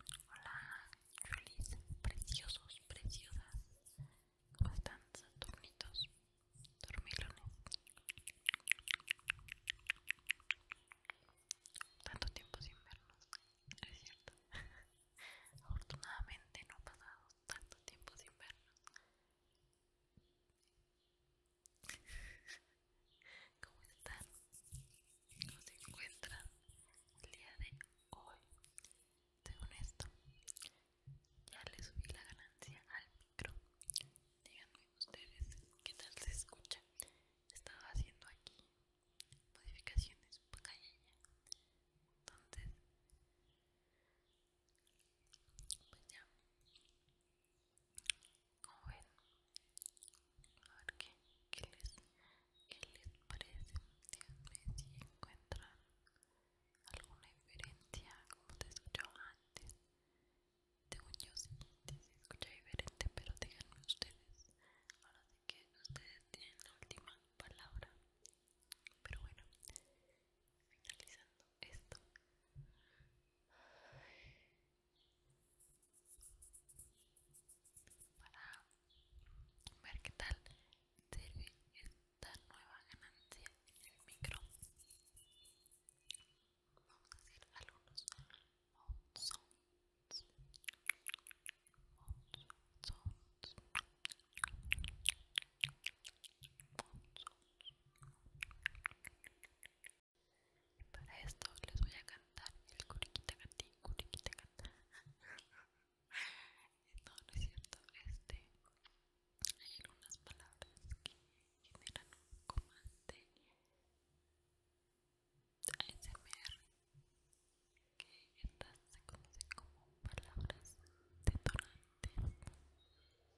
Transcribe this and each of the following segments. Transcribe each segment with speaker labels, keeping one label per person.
Speaker 1: Hola, Julis, preciosos, preciosas. ¿Cómo están, Saturnitos? Dormilones. Tanto tiempo sin vernos, es cierto. Afortunadamente no ha pasado tanto tiempo sin vernos. ¿Cómo están? ¿Cómo se encuentran el día de hoy? Según esto, ya le subí la ganancia al micro. Díganme ustedes qué tal se escucha. Estaba haciendo aquí modificaciones pues, entonces pues ya como ven a ver qué, les, parece díganme si encuentran alguna diferencia como te escuchó antes según yo sí, se escucha diferente pero díganme ustedes ahora sí que ustedes tienen la última palabra pero bueno finalizando esto para ver qué tal sirve esta nueva ganancia en el micro vamos a hacer algunos para esto les voy a cantar el curiquita cantín, curiquita cantín. No, no es cierto, este, hay unas palabras que generan un comando ASMR que estas se conocen como palabras detonantes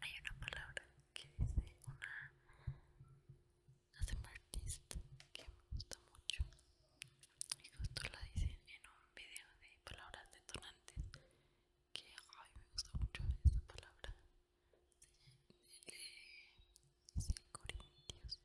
Speaker 1: Hay una palabra que dice una hace artista que me gusta mucho y justo la dicen en un video de palabras detonantes que ay me gusta mucho esa palabra. dice Corintios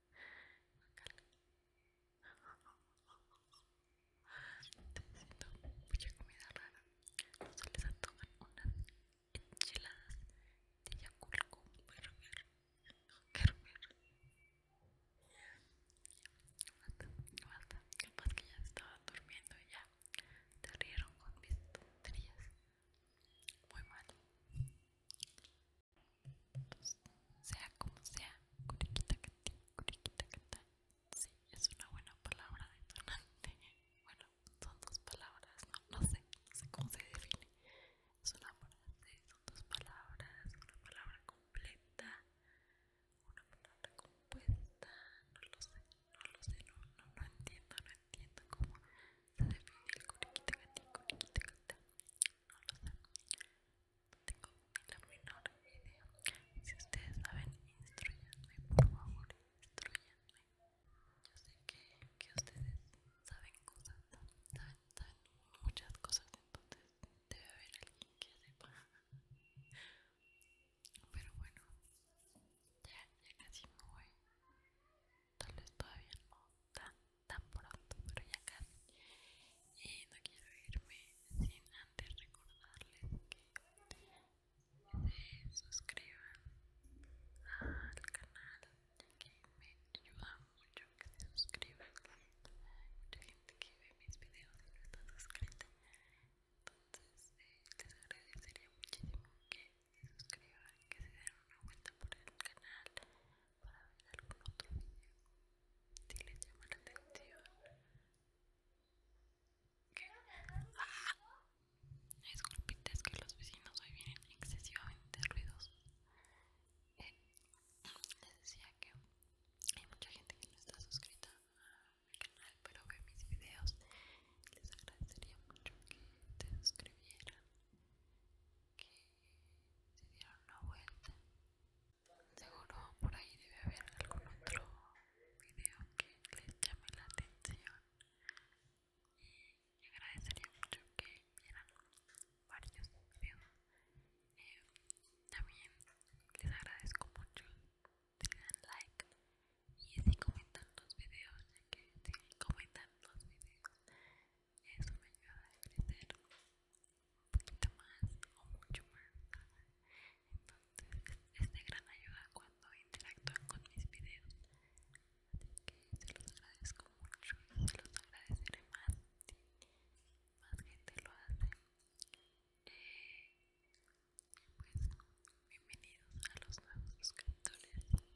Speaker 1: Te presento mucha comida rara. No se les unas enchiladas de Yakult con burger. No Basta, basta. Capaz que ya estaban durmiendo y ya te rieron con mis tonterías. Muy mal sea como
Speaker 2: sea, curiquita Cata, Sí, es una buena palabra detonante. Bueno, son dos palabras, no, no sé, no sé cómo se define. Es una frase, son dos palabras, una palabra completa, una palabra compuesta, no lo sé, no lo sé, no, no, entiendo, no entiendo cómo se define el curiquita cata no lo sé. Tengo la menor idea. Si ustedes saben, instruyanme, por favor, instruyanme. Yo sé que, ustedes saben cosas, tan saben muchas cosas, entonces debe haber alguien que sepa. Pero bueno, ya, ya casi me voy tal vez todavía no tan, pronto, pero ya casi. Y no quiero irme sin antes recordarles que se suscriban al canal, ya que me ayuda mucho que se suscriban. Hay mucha gente que ve mis videos y no está suscrita, entonces eh, les agradecería muchísimo que se suscriban, que se den una vuelta por el canal para ver algún otro video si les llama la atención. ¿Qué? ¡Ah! Disculpites que los vecinos hoy vienen excesivamente ruidosos. Eh, les decía que hay mucha gente que no está suscrita al canal, pero ve mis videos. Les agradecería mucho que se suscribieran que se dieron una vuelta. Seguro por ahí debe haber algún otro video que les llame la atención. Y agradecería mucho que vieran varios videos. Eh, también les agradezco mucho si le like y si comentan los videos, ya que si comentan los videos eso me ayuda a crecer un poquito más o mucho más entonces es de gran ayuda cuando interactúan con mis videos así que se los agradezco mucho se los agradeceré más si más gente lo hace eh, pues bienvenidos a los nuevos suscriptores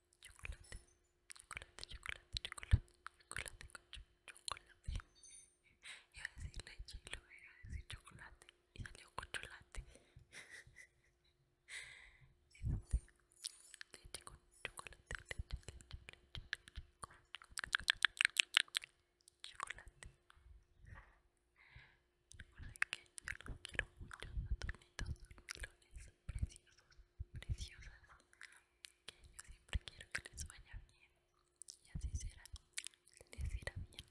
Speaker 2: chocolate, chocolate, chocolate, chocolate, chocolate chocolate. y chocolate y salió con chocolate. leche con chocolate, chocolate leche, leche, chocolate. chocolate. Recuerden que yo los quiero mucho, matornitos, Saturnilones, preciosos, preciosas. Que yo siempre quiero que les vaya bien. Y así será. Les irá bien,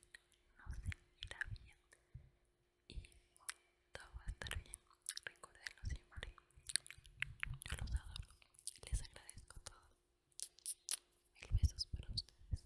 Speaker 2: no se irá bien. Y todo va a estar bien. Recuerdenlo siempre. Yo los adoro. Les agradezco todo. El besos para ustedes.